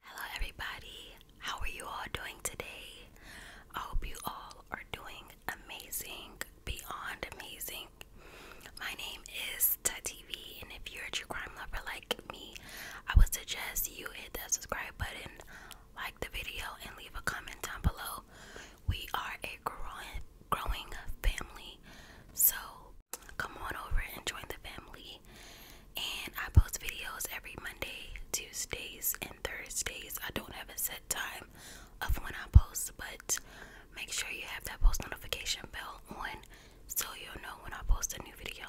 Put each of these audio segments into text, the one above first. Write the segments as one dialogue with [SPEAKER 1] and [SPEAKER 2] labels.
[SPEAKER 1] Hello, everybody. How are you all doing today? I hope you all are doing amazing, beyond amazing. My name is Tat TV, and if you're a true crime lover like me, I would suggest you hit that subscribe button, like the video, and leave a comment down below. We are a growing, growing family, so come on over and join the family and I post videos every Monday, Tuesdays, and Thursdays. I don't have a set time of when I post, but make sure you have that post notification bell on so you'll know when I post a new video.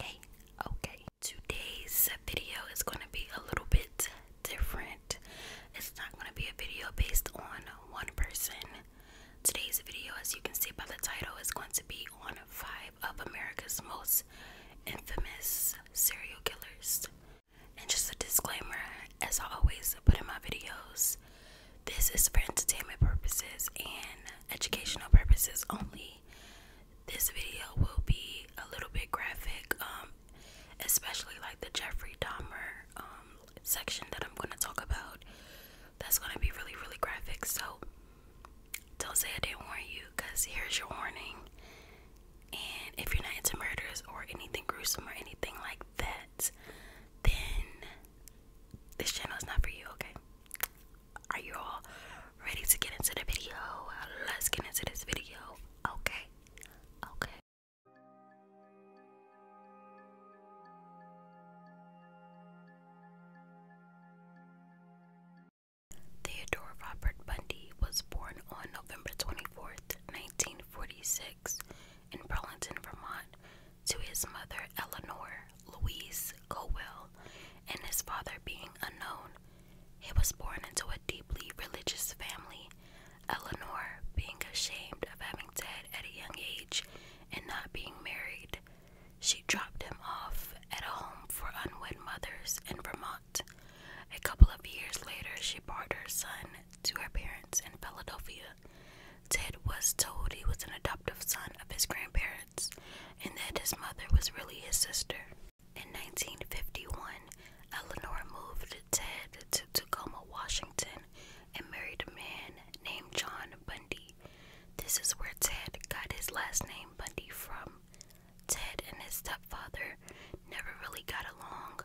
[SPEAKER 1] Okay, okay. Today's video is going to be a little bit different. It's not going to be a video based on one person. Today's video, as you can see by the title, is going to be on five of America's most infamous serial killers. And just a disclaimer, as I always put in my videos, this is for entertainment purposes and educational purposes only. This video will be a little bit graphic, um, especially like the Jeffrey Dahmer um, section that I'm going to talk about that's gonna be really, really graphic. So don't say I didn't warn you, cause here's your warning. And if you're not into murders or anything gruesome or anything like that, then this channel is not for you, okay? Are you all ready to get into the video? Let's get into this video, okay? Okay. Theodore Robert Bundy was born on November 24, 1946, in Burlington, Vermont, to his mother Eleanor Louise Cowell and his father being unknown. He was born into a deeply religious family, Eleanor being ashamed of having died at a young age and not being married. She dropped him off at a home for unwed mothers in Vermont. A couple of years later, she brought her son to her parents in Philadelphia. Ted was told he was an adoptive son of his grandparents and that his mother was really his sister. In 1951, Eleanor moved Ted to Tacoma, Washington, and married a man named John Bundy. This is where Ted got his last name Bundy from. Ted and his stepfather never really got along.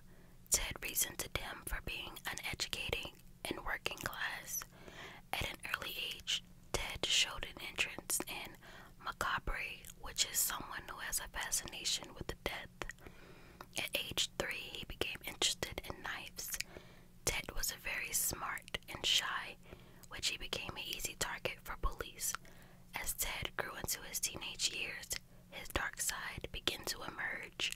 [SPEAKER 1] Ted reasoned to them for being uneducated and working class. At an early age, Ted showed an interest in macabre, which is someone who has a fascination with the death. At age three, he became interested in knives. Ted was a very smart and shy which he became an easy target for police. As Ted grew into his teenage years, his dark side began to emerge.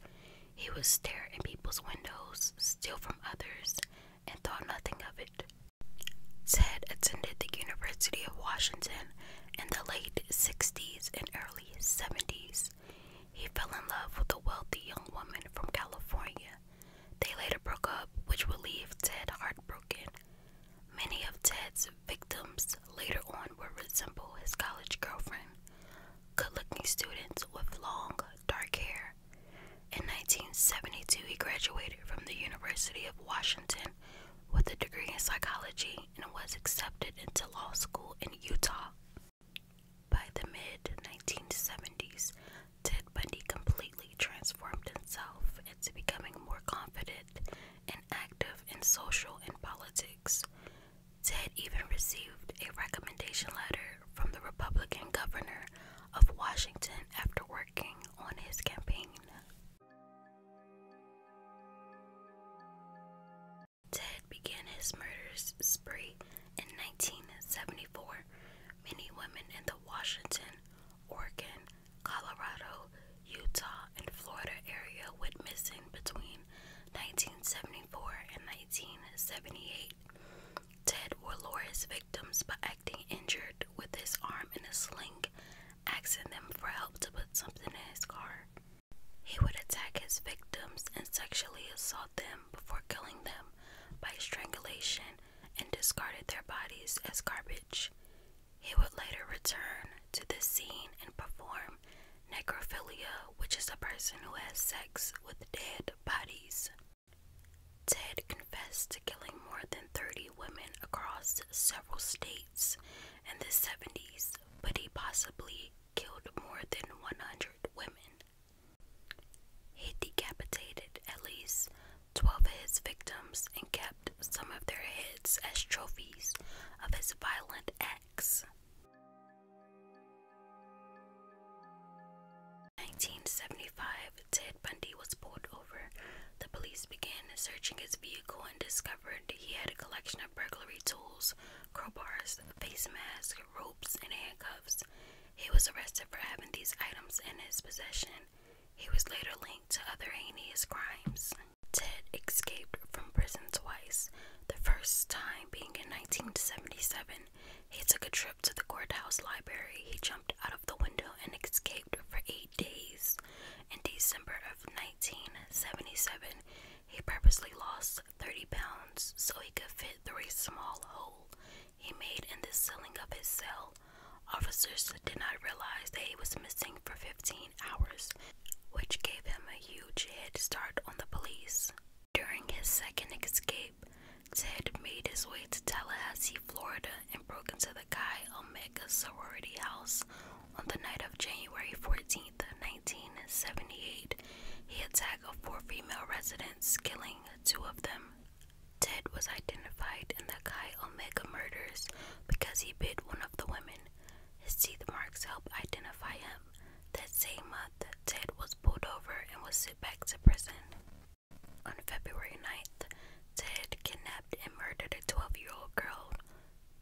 [SPEAKER 1] He would stare in people's windows, steal from others, and thought nothing of it. Ted attended the University of Washington in the late 60s and early 70s. He fell in love with a wealthy young woman from California they later broke up, which would leave Ted heartbroken. Many of Ted's victims later on would resemble his college girlfriend, good looking students with long, dark hair. In 1972, he graduated from the University of Washington with a degree in psychology and was accepted into law school in Utah. By the mid 1970s, Ted Bundy completely transformed himself into becoming more confident and active in social and politics. Ted even received a recommendation letter from the Republican governor of Washington after working on his campaign. Ted began his murders spree in 1974. Many women in the Washington Oregon, Colorado, Utah, and Florida area went missing between 1974 and 1978. Ted will lure victims by acting injured with his arm in a sling, asking them for help to put something in his car. He would attack his victims and sexually assault them before killing them by strangulation and discarded their bodies as garbage. He would later return to this scene and perform necrophilia, which is a person who has sex with dead bodies. Ted confessed to killing more than 30 women across several states in the 70s, but he possibly killed more than 100 women. He decapitated at least twelve of his victims and kept some of their heads as trophies of his violent acts. 1975, Ted Bundy was pulled over. The police began searching his vehicle and discovered he had a collection of burglary tools, crowbars, face masks, ropes, and handcuffs. He was arrested for having these items in his possession. He was later linked to other heinous crimes. Ted escaped from prison twice, the first time being in 1977. He took a trip to the courthouse library. He jumped out of the window and escaped for eight days. In December of 1977, he purposely lost 30 pounds so he could fit through a small hole he made in the ceiling of his cell. Officers did not realize that he was missing for 15 hours, which gave him a huge head start on the police. During his second escape, Ted made his way to Tallahassee, Florida, and broke into the Chi Omega sorority house on the night of January 14, 1978. He attacked four female residents, killing two of them. Ted was identified in the Chi Omega murders because he bit one of the women. His teeth marks help identify him. That same month, Ted was pulled over and was sent back to prison. On February 9th, Ted kidnapped and murdered a 12 year old girl,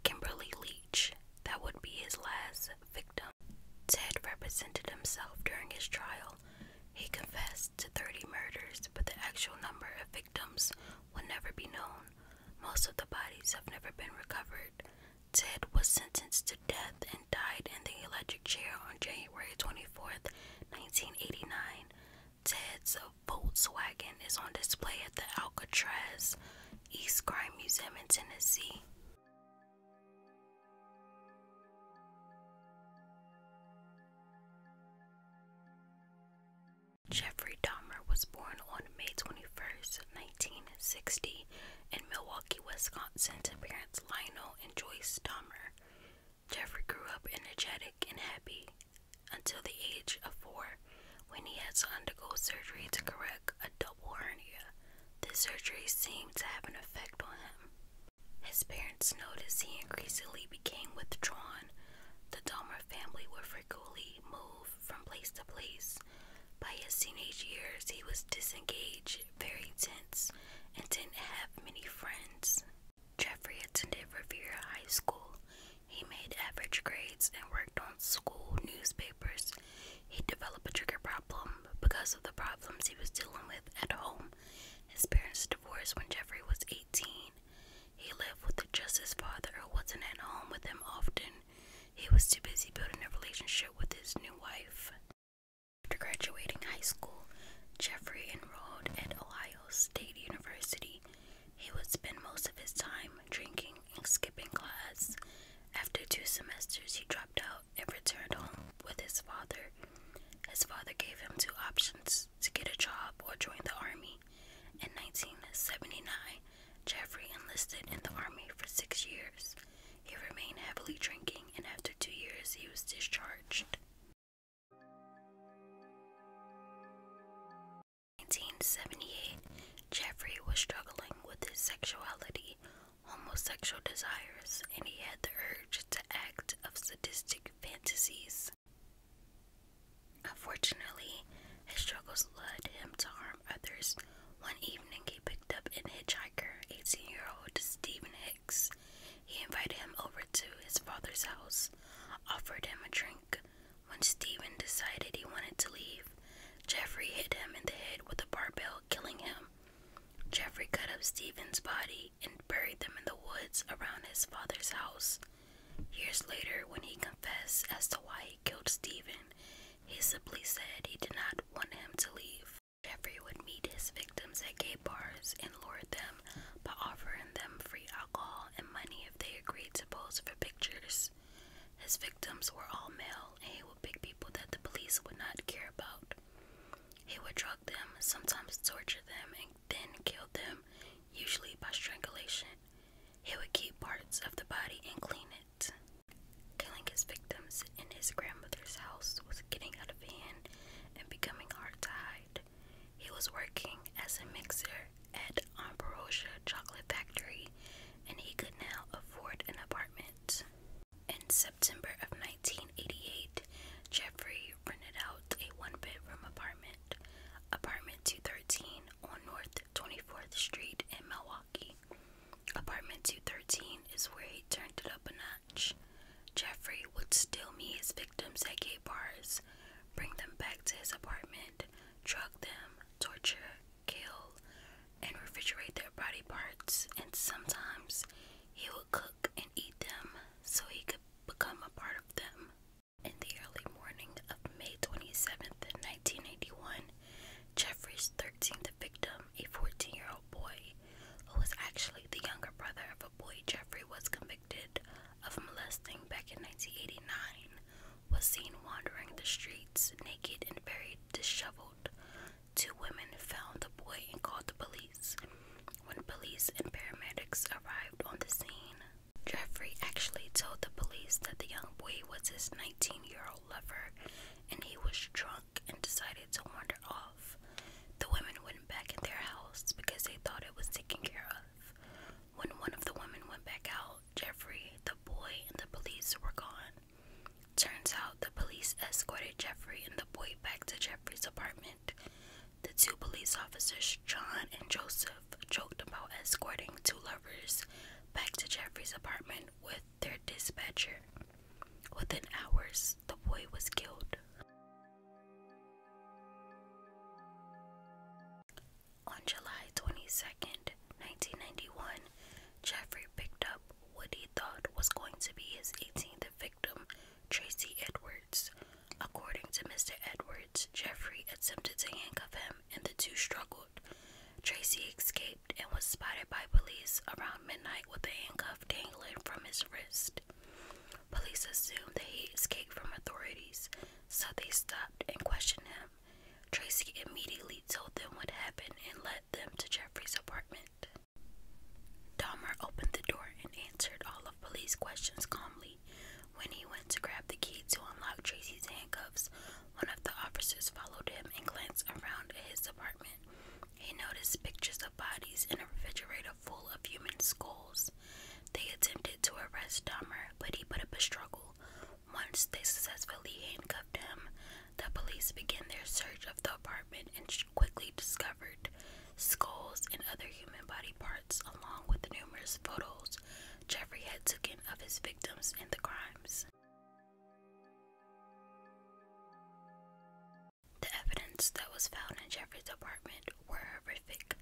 [SPEAKER 1] Kimberly Leach. That would be his last victim. Ted represented himself during his trial he confessed to 30 murders, but the actual number of victims will never be known. Most of the bodies have never been recovered. Ted was sentenced to death and died in the electric chair on January 24th, 1989. Ted's Volkswagen is on display at the Alcatraz East Crime Museum in Tennessee. Jeffrey Dahmer was born on May 21, 1960, in Milwaukee, Wisconsin, to parents Lionel and Joyce Dahmer. Jeffrey grew up energetic and happy until the age of four, when he had to undergo surgery to correct a double hernia. The surgery seemed to have an effect on him. His parents noticed he increasingly became withdrawn. The Dahmer family were frequently moved from place to place. By his teenage years, he was disengaged, very tense, and didn't have many friends. Jeffrey attended Riviera High School. He made average grades and worked on school newspapers. He developed a trigger problem because of the problems he was dealing with at home. His parents divorced when Jeffrey was 18. He lived with just his father, who wasn't at home with him often. He was too busy building a relationship with his new wife. After graduating high school, Jeffrey enrolled at Ohio State University. He would spend most of his time drinking and skipping class. After two semesters, he dropped out and returned home with his father. His father gave him two options to get a job or join the Army. In 1979, Jeffrey enlisted in the Army for six years. He remained heavily drinking, and after two years, he was discharged. 1978, Jeffrey was struggling with his sexuality, homosexual desires, and he had the urge to act of sadistic fantasies. Unfortunately, his struggles led him to harm others. One evening, he picked up an hitchhiker, 18 year old Stephen Hicks. He invited him over to his father's house, offered him a drink. When Stephen decided he wanted to leave, Jeffrey hit him in the head with a barbell, killing him. Jeffrey cut up Stephen's body and buried them in the woods around his father's house. Years later, when he confessed as to why he killed Stephen, he simply said he did not want him to leave. Jeffrey would meet his victims at gay bars and lure them by offering them free alcohol and money if they agreed to pose for pictures. His victims were all male, and he would pick people that the police would not care about. He would drug them, sometimes torture them, and then killed them, usually by strangulation. He would keep parts of the body and clean it. Killing his victims in his grandmother's house was getting out of hand and becoming hard to hide. He was working as a mixer at Amperosia Chocolate Factory and he could now afford an apartment. In September of 1988, Jeffrey rented out a one bedroom apartment Apartment 213 on North 24th Street in Milwaukee. Apartment 213 is where he turned it up a notch. Jeffrey would still meet his victims at gay bars, bring them back to his apartment, drug them, torture, kill, and refrigerate their body parts, and sometimes he would cook and eat them so he could become a part of them. In the early morning of May 27, 1981, Jeffrey's 13th victim, a 14 year old boy, who was actually the younger brother of a boy Jeffrey was convicted of molesting back in 1989, was seen wandering the streets naked and very disheveled. Two women found the boy and called the police. When police and paramedics arrived on the scene, Jeffrey actually told the police that the young boy was his 19 year old lover and he was drunk and decided to wander off. The women went back in their house because they thought it was taken care of. When one of the women went back out, Jeffrey, the boy, and the police were gone. Turns out the police escorted Jeffrey and the boy back to Jeffrey's apartment. The two police officers, John and Joseph, joked about escorting two lovers back to Jeffrey's apartment with their dispatcher. Within hours, the boy was killed. On July 22nd, 1991, Jeffrey picked up what he thought was going to be his 18th victim, Tracy Edwards. According to Mr. Edwards, Jeffrey attempted to handcuff him and the two struggled. Tracy escaped and was spotted by police around midnight with a handcuff dangling from his wrist. Police assumed that he escaped from authorities, so they stopped and questioned him. Tracy immediately told them what happened and led them to Jeffrey's apartment. Dahmer opened the door and answered all of police questions calmly. When he went to grab the key to unlock Tracy's handcuffs, one of the officers followed him and glanced around his apartment. He noticed pictures of bodies in a refrigerator full of human skulls. They attempted to arrest Dahmer, but he put up a struggle. Once they successfully handcuffed him, the police began their search of the apartment and quickly discovered skulls, and other human body parts, along with numerous photos Jeffrey had taken of his victims and the crimes. The evidence that was found in Jeffrey's apartment were horrific.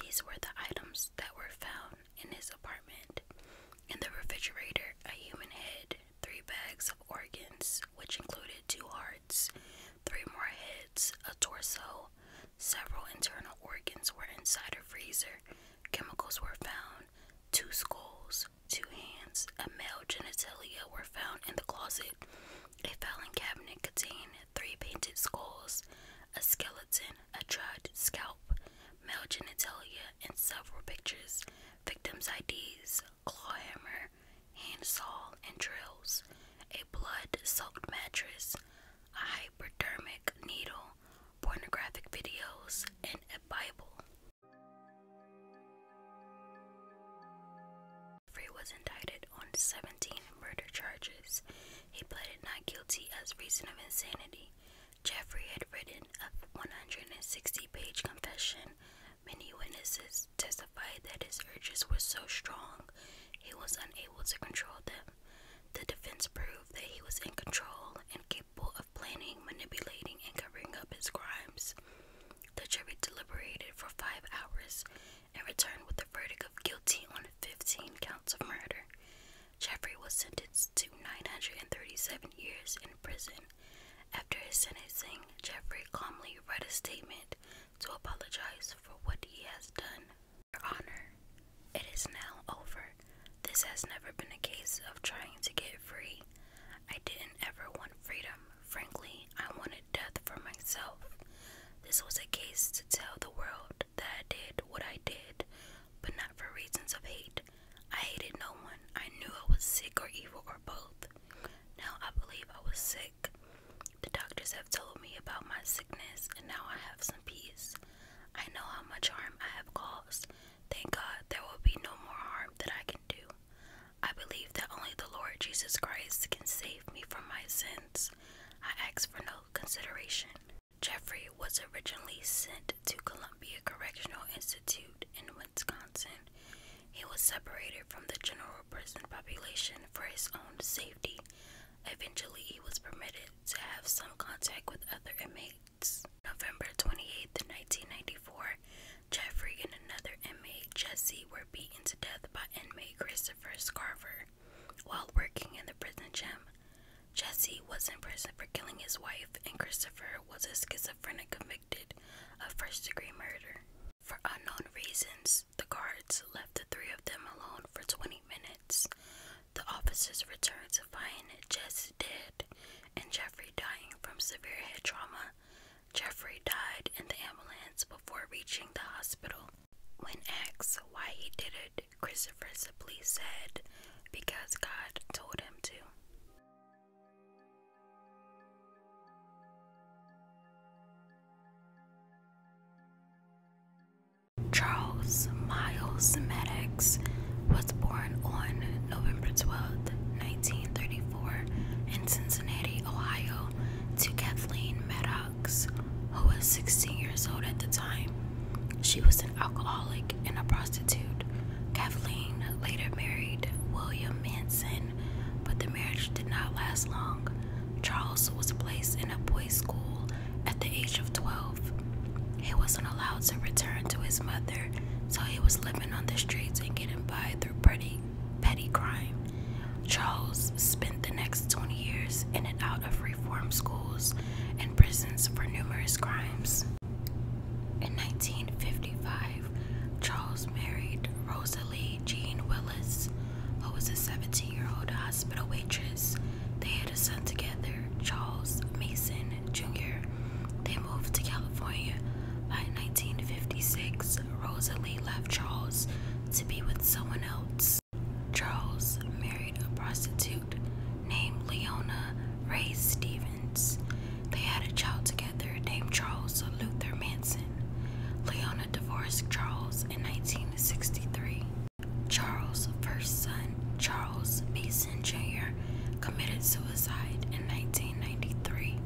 [SPEAKER 1] These were the items that were found in his apartment. In the refrigerator, a human head, three bags of organs, which included two hearts, three more heads, a torso, several internal organs were inside a freezer, chemicals were found, two skulls, two hands, a male genitalia were found in the closet, a filing cabinet contained three painted skulls, a skeleton, a dried scalp, male genitalia, and several pictures, victims' IDs, claw hammer, handsaw, and drills, a blood soaked mattress, a hypodermic needle, pornographic videos, and a Bible. Free was indicted on 17 murder charges. He pleaded not guilty as reason of insanity. Jeffrey had written a 160 page confession. Many witnesses testified that his urges were so strong he was unable to control them. The defense proved that he was in control and capable of planning, manipulating, and covering up his crimes. The jury deliberated for five hours and returned with a verdict of guilty on 15 counts of murder. Jeffrey was sentenced to 937 years in prison. After his sentencing, Jeffrey calmly read a statement to apologize for what he has done your Honor, it is now over. This has never been a case of trying to get free. I didn't ever want freedom. Frankly, I wanted death for myself. This was a case to tell the world that I did what I did, but not for reasons of hate. I hated no one. I knew I was sick or evil or both. Now I believe I was sick. The doctors have told me about my sickness, and now I have some peace. I know how much harm I have caused. Thank God there will be no more harm that I can do. I believe that only the Lord Jesus Christ can save me from my sins. I ask for no consideration. Jeffrey was originally sent to Columbia Correctional Institute in Wisconsin. He was separated from the general prison population for his own safety, Eventually, he was permitted to have some contact with other inmates. November 28, 1994, Jeffrey and another inmate, Jesse, were beaten to death by inmate Christopher Scarver while working in the prison gym. Jesse was in prison for killing his wife, and Christopher was a schizophrenic convicted of first degree murder. For unknown reasons, the guards left the three of them alone for 20 minutes. The officers returned to find Jess dead and Jeffrey dying from severe head trauma. Jeffrey died in the ambulance before reaching the hospital. When asked why he did it, Christopher simply said, Because God told him to. Charles Miles Maddox was born on November 12, 1934, in Cincinnati, Ohio, to Kathleen Maddox, who was 16 years old at the time. She was an alcoholic and a prostitute. Kathleen later married William Manson, but the marriage did not last long. Charles was placed in a boys' school at the age of 12. He wasn't allowed to return to his mother, so he was living on the streets and getting by through petty, petty crime. Charles spent the next 20 years in and out of reform schools and prisons for numerous crimes. In 1955, Charles married Rosalie Jean Willis, who was a 17 year old hospital waitress they had a son together, Charles Mason Jr. They moved to California. By 1956, Rosalie left Charles to be with someone else. Charles married a prostitute named Leona Ray Stevens. They had a child together named Charles Luther Manson. Leona divorced Charles in 1963. Charles' first son, Charles Manson Jr., committed suicide in 1993.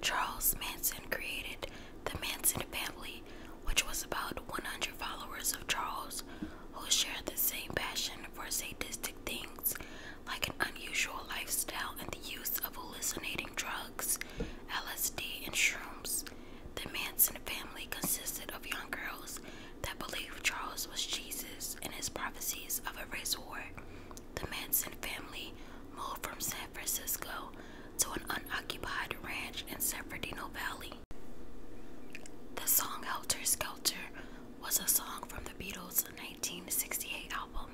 [SPEAKER 1] Charles Manson created the Manson family, which was about 100 followers of Charles who shared the same passion for sadistic things like an unusual lifestyle and the use of hallucinating drugs LSD, and shrooms. The Manson family consisted of young girls that believed Charles was Jesus and his prophecies of a race war. The Manson family moved from San Francisco to an unoccupied ranch in San Fernando Valley. The song Helter Skelter was a song from the Beatles' 1968 album.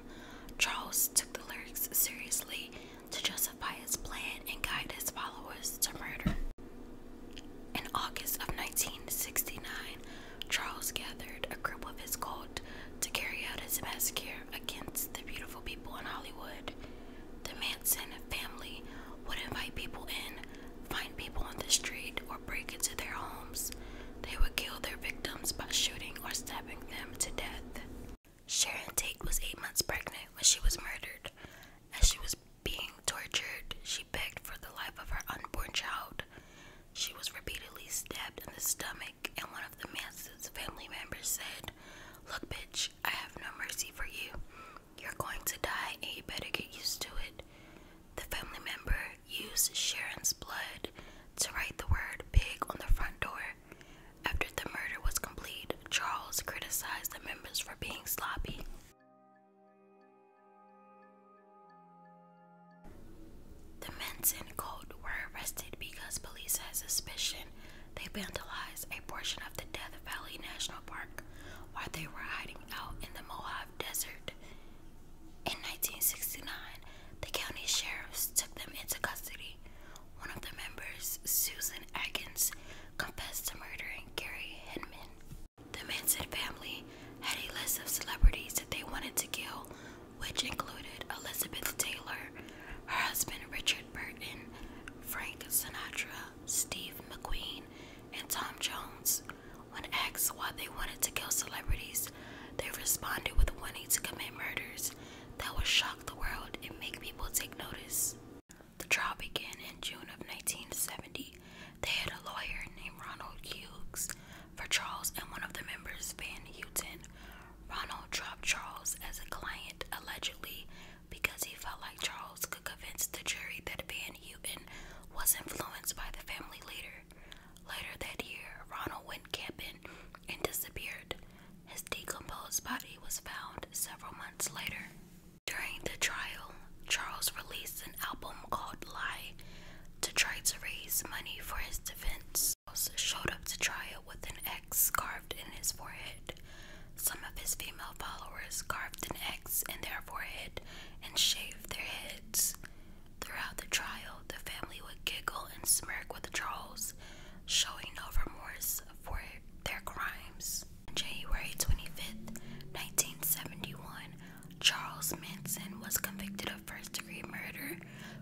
[SPEAKER 1] Charles took the lyrics seriously to justify his plan and guide his followers to murder. In August of 1969, Charles gathered a group of his cult to carry out his massacre against the beautiful people in Hollywood. The Manson family would invite people in, find people on the street, or break into their homes. They would kill their victims by shooting or stabbing them to death. Sharon Tate was eight months pregnant when she was murdered. As she was being tortured, she begged for the life of her unborn child. She was repeatedly stabbed in the stomach, and one of the man's family members said, Look, bitch, I have no mercy for you. You're going to die, and you better get used to it. The family member used Sharon's blood to write the word pig on the front door. After the murder was complete, Charles criticized the members for being sloppy. The Manson cult were arrested because police had suspicion they vandalized a portion of the Death Valley National Park while they were hiding out in the Mojave Desert. In 1969, the county sheriffs took them into custody, one of the members, Susan Atkins, confessed to murdering Gary Hinman. The Manson family had a list of celebrities that they wanted to kill, which included Elizabeth Taylor, her husband Richard Burton, Frank Sinatra, Steve McQueen, and Tom Jones. When asked why they wanted to kill celebrities, they responded with wanting to commit murders that would shock the world and make people take notice. The trial began in June of 1970. They had a lawyer named Ronald Hughes for Charles and one of the members, Van Houten. Ronald dropped Charles as a client allegedly because he felt like Charles could convince the jury that Van Houten was influenced by the family leader. Later that year, Ronald went camping and disappeared. His decomposed body was found several months later. During the trial, Charles released an album called Lie to try to raise money for his defense. Charles showed up to trial with an X carved in his forehead. Some of his female followers carved an X in their forehead and shaved their heads. Throughout the trial, the family would giggle and smirk with Charles, showing no remorse for their crimes. On January twenty fifth, 1971, Charles Manson was convicted of first degree murder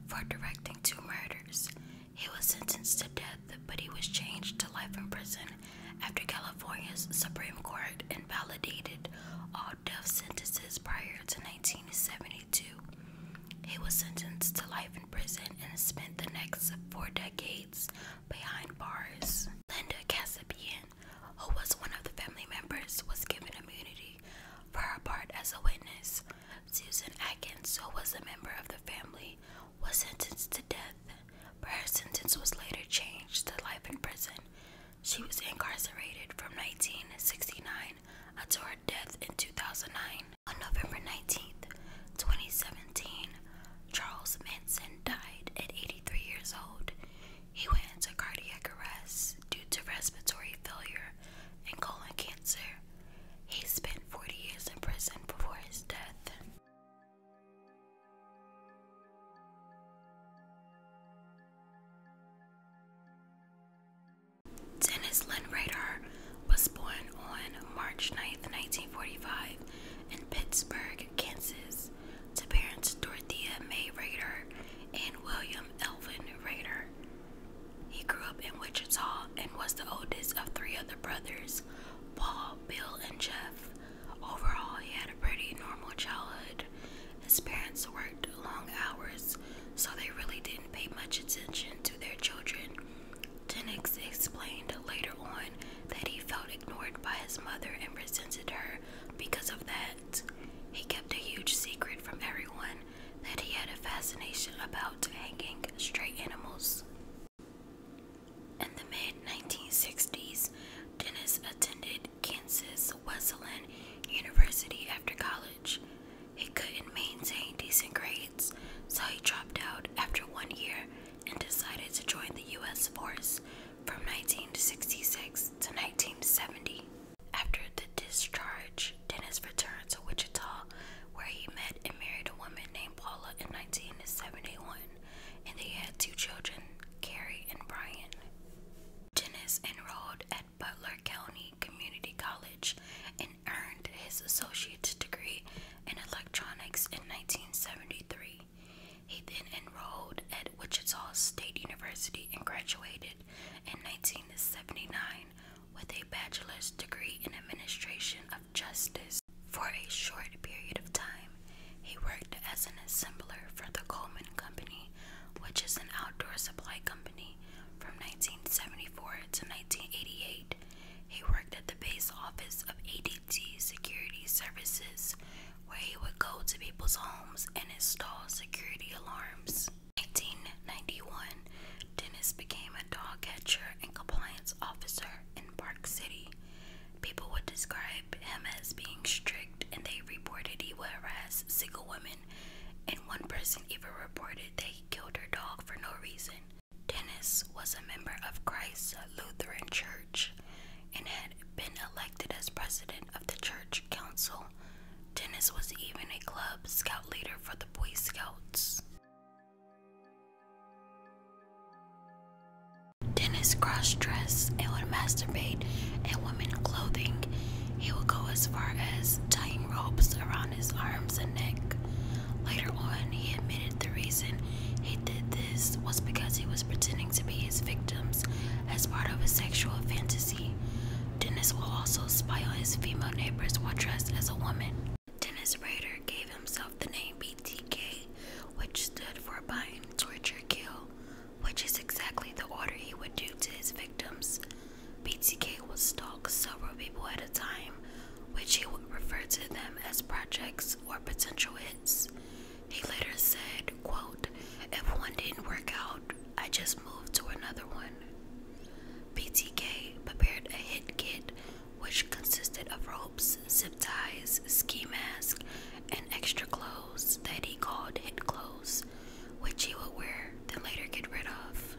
[SPEAKER 1] for directing two murders. He was sentenced to death, but he was changed to life in prison after California's Supreme Court invalidated all death sentences prior to 1972. He was sentenced to life in prison and spent the next four decades behind bars. Linda Kasabian, who was one of the family members, was given immunity for her part as a witness. Susan Atkins, who was a member of the family, was sentenced to death, but her sentence was later changed to life in prison. She was incarcerated from 1969 until her death in 2009. On November 19th, 2017, Charles Manson died at 83 years old. He went into cardiac arrest due to respiratory failure and colon cancer. He spent 40 years in prison before his death. Dennis Lynn was born on March 9, 1945, in Pittsburgh, Kansas, to parents Dorothea May Rader and William Elvin Rader. He grew up in Wichita and was the oldest of three other brothers Paul, Bill, and Jeff. Overall, he had a pretty normal childhood. His parents worked long hours, so they really didn't pay much attention to their children Denix explained later on that he felt ignored by his mother and resented her because of that. He kept a huge secret from everyone that he had a fascination about hanging stray animals. In the mid 1960s, Dennis attended Kansas Wesleyan University after college. He couldn't maintain decent grades so he dropped out after one year and decided to join the U.S. force from 1966 to 1970. After the discharge, Dennis returned to Wichita, where he met and married a woman named Paula in 1971, and they had two children, Carrie and Brian. Dennis enrolled at Butler County Community College in Franklin earned his associate's degree in electronics in 1973. He then enrolled at Wichita State University and graduated in 1979 with a bachelor's degree in administration of justice. For a short period of time, he worked as an assembler for the Coleman Company, which is an outdoor supply company, from 1974 to 1988. 1998, he worked at the base office of ADT Security Services, where he would go to people's homes and install security alarms. 1991, Dennis became a dog catcher and compliance officer in Park City. People would describe him as being strict, and they reported he would harass single women. And one person even reported that he killed her dog for no reason. Dennis was a member of Christ's Lutheran Church and had been elected as president of the church council. Dennis was even a club scout leader for the Boy Scouts. Dennis cross-dressed and would masturbate in women's clothing. He would go as far as tying ropes around his arms and neck. Later on, he admitted the reason he did this was because he was pretending to be his victims as part of a sexual fantasy. Dennis will also spy on his female neighbors while dressed as a woman. Dennis Rader gave himself the name BTK, which stood for Bind, Torture, Kill, which is exactly the order he would do to his victims. BTK will stalk several people at time, which he would refer to them as projects or potential hits. He later said, quote, if one didn't work out, I just moved to another one. BTK prepared a hit kit which consisted of ropes, zip ties, ski mask, and extra clothes that he called hit clothes, which he would wear then later get rid of.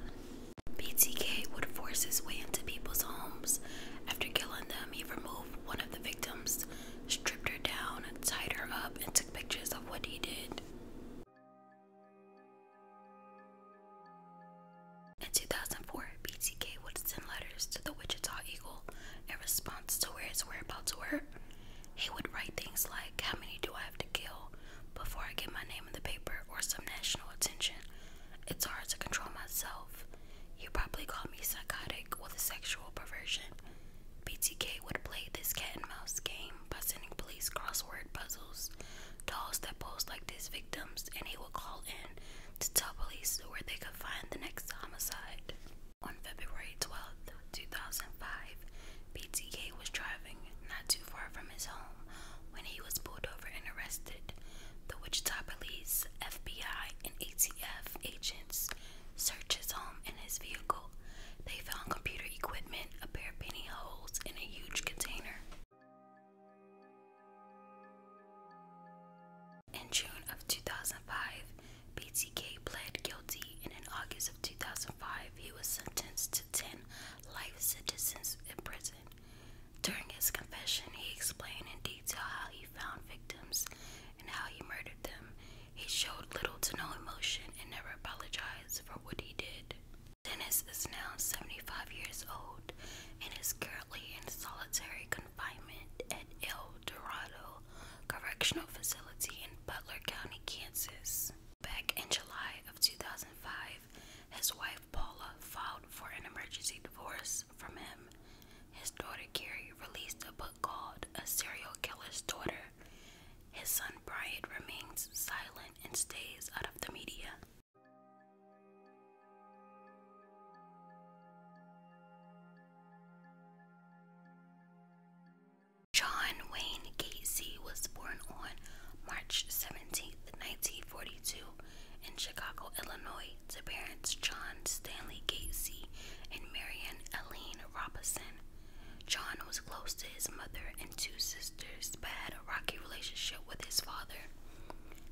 [SPEAKER 1] BTK would force his way into people's homes after killing them, he removed one of the victims, stripped her down, tied her up, and took pictures of what he did. In 2004, BTK would send letters to the Wichita Eagle in response to where his whereabouts were. He would write things like, How many do I have to kill before I get my name in the paper or some national attention? It's hard to control myself. You probably call me psychotic with a sexual perversion. BTK would play this cat and mouse game by sending police crossword puzzles, dolls that posed like his victims, and he would call in to tell police where they could find the next homicide. On February twelfth, two 2005, BTK was driving not too far from his home when he was pulled over and arrested. The Wichita Police, FBI, and ATF agents search his home and his vehicle. They found computer equipment, a pair of penny holes, and a huge container. In June of 2005, BTK pled guilty, and in August of 2005, he was sentenced to 10 life sentences in prison. During his confession, he explained in detail how he found victims and how he murdered them. He showed little to no emotion and never apologized for what he did. Dennis is now 75 years old and is currently in solitary confinement at El Dorado Correctional Facility in Butler County, Kansas. Back in July of 2005, his wife Paula filed for an emergency divorce from him. His daughter Carrie released a book called A Serial Killer's Daughter. His son Bryant remains silent and stays out of the media. John Wayne Gacy was born on March 17, 1942, in Chicago, Illinois, to parents John Stanley Gatesy and Marian Eileen Robison. John was close to his mother and two sisters, but had a rocky relationship with his father.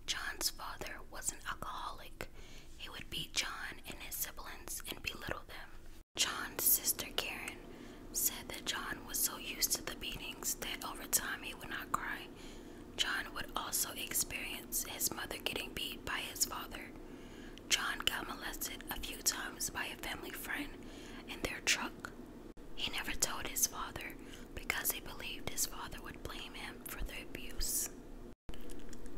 [SPEAKER 1] John's father was an alcoholic. He would beat John and his siblings and belittle them. John's sister Karen said that John was so used to the beatings that over time he would not cry. John would also experience his mother getting beat by his father. John got molested a few times by a family friend in their truck. He never told his father because he believed his father would blame him for the abuse.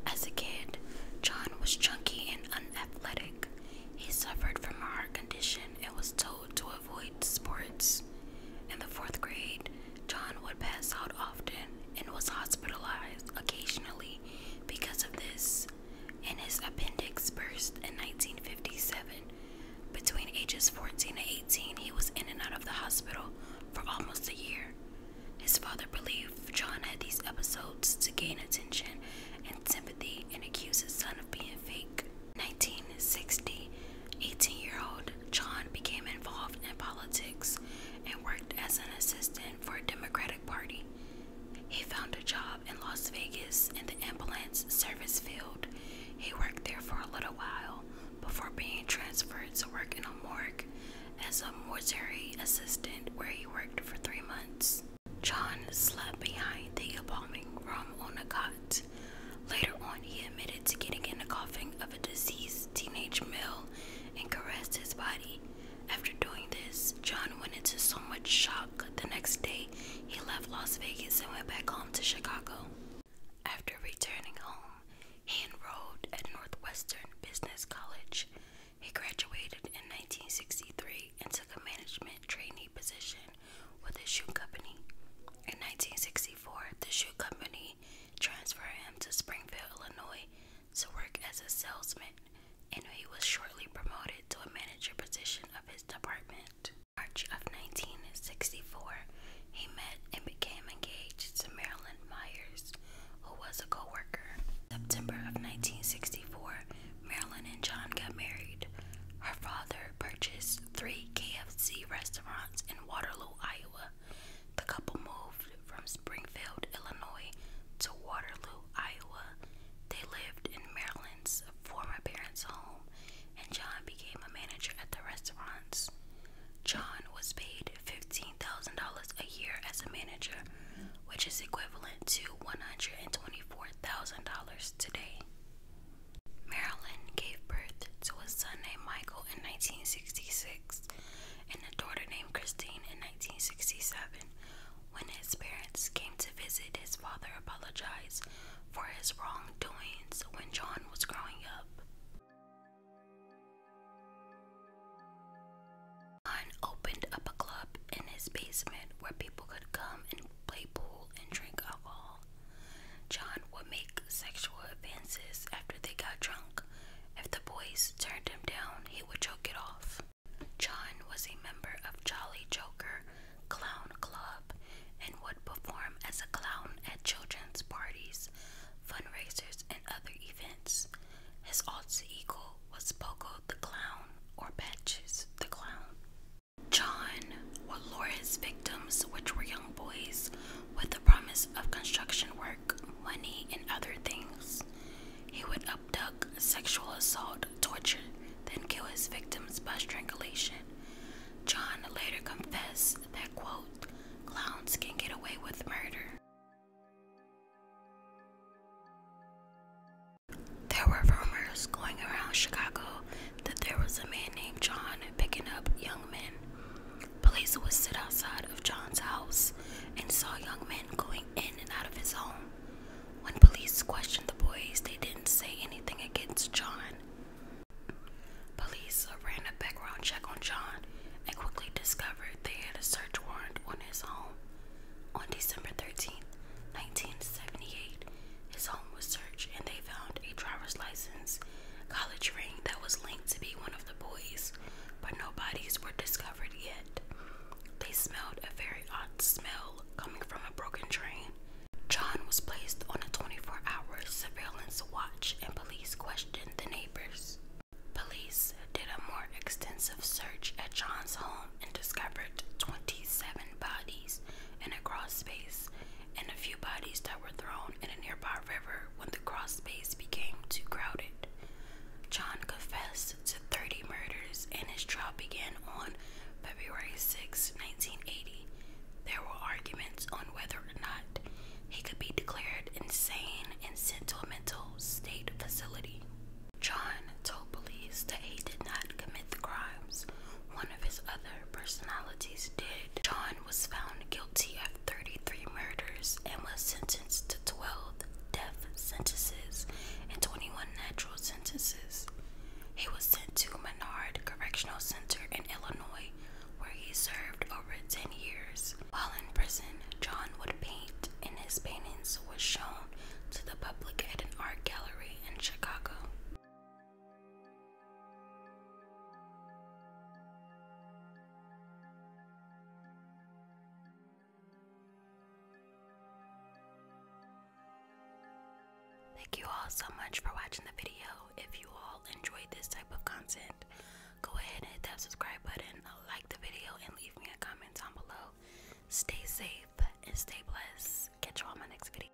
[SPEAKER 1] As a kid, John was chunky and unathletic. He suffered from a heart condition and was told to avoid sports. In the fourth grade, John would pass out often and was hospitalized occasionally because of this, and his appendix burst in 1957. Between ages 14 and 18, he was in and out of the hospital for almost a year. His father believed John had these episodes to gain attention and sympathy and accused his son of being fake. 1960, 18-year-old John became involved in politics and worked as an assistant for a Democratic Party. He found a job in Las Vegas in the ambulance service field. He worked there for a little while before being transferred to work in a morgue as a mortuary assistant where he worked for three months. John slept behind the embalming room on a cot. Later on, he admitted to getting in the coughing of a disease teenage male and caressed his body. After doing this, John went into so much shock the next day he left Las Vegas and went back home to Chicago. After returning home, he enrolled at Northwestern Business College. He graduated in 1963 and took a management trainee position with a shoe company. In 1964, the shoe company transferred him to Springfield, Illinois to work as a salesman, and he was shortly promoted to a manager position of his department. March of 1964, he met and became engaged to Marilyn Myers, who was a co-worker. September of 1964, Marilyn and John got married. Her father purchased three KFC restaurants in Waterloo, Iowa, the couple moved from Springfield, Illinois to Waterloo, Iowa. They lived in Maryland's former parents' home, and John became a manager at the restaurants. John was paid $15,000 a year as a manager, which is equivalent to $124,000 today. Marilyn gave birth to a son named Michael in 1966 and a daughter named Christine in 1967. When his parents came to visit, his father apologized for his wrongdoings when John was growing up. John opened up a club in his basement where people could come and play pool and drink alcohol. John would make make sexual advances after they got drunk. If the boys turned him down, he would choke it off. John was a member of Jolly Joker Clown Club and would perform as a clown at children's parties, fundraisers, and other events. His alter ego was Pogo the Clown or Patches the Clown. John would lure his victims, which were young boys, with the promise of construction work, money, and other things. He would abduct, sexual assault, torture, then kill his victims by strangulation. John later confessed that, quote, clowns can get away with murder. There were rumors going around Chicago that there was a man named John picking up young men. Police would sit outside of John's house and saw young men going in and out of his home. When police questioned the boys, they didn't say anything against John. Police ran a background check on John and quickly discovered they had a search warrant on his home. On December 13, 1978, his home was searched and they found a driver's license college ring that was linked to be one of the boys, but no bodies were discovered yet. They smelled a very odd smell coming from a broken drain. John was placed on a 24 hour surveillance watch, and police questioned the neighbors. Police did a more extensive search at John's home and discovered 27 bodies in a cross space and a few bodies that were thrown in a nearby River when the cross space became too crowded. John confessed to 30 murders and his trial began on February 6, 1980. There were arguments on whether or not he could be declared insane and sent to a mental state facility. John told police that he did not commit the crimes. One of his other personalities did. John was found guilty of 33 murders and was sentenced to 12 death sentences and 21 natural sentences. He was sent to Menard Correctional Center in Illinois, where he served over 10 years. While in prison, John would paint, and his paintings were shown to the public at an art gallery in Chicago. Thank you all so much for watching the video. If you all enjoyed this type of content, go ahead and hit subscribe button, like the video, and leave me a comment down below. Stay safe and stay blessed. Catch you all in my next video.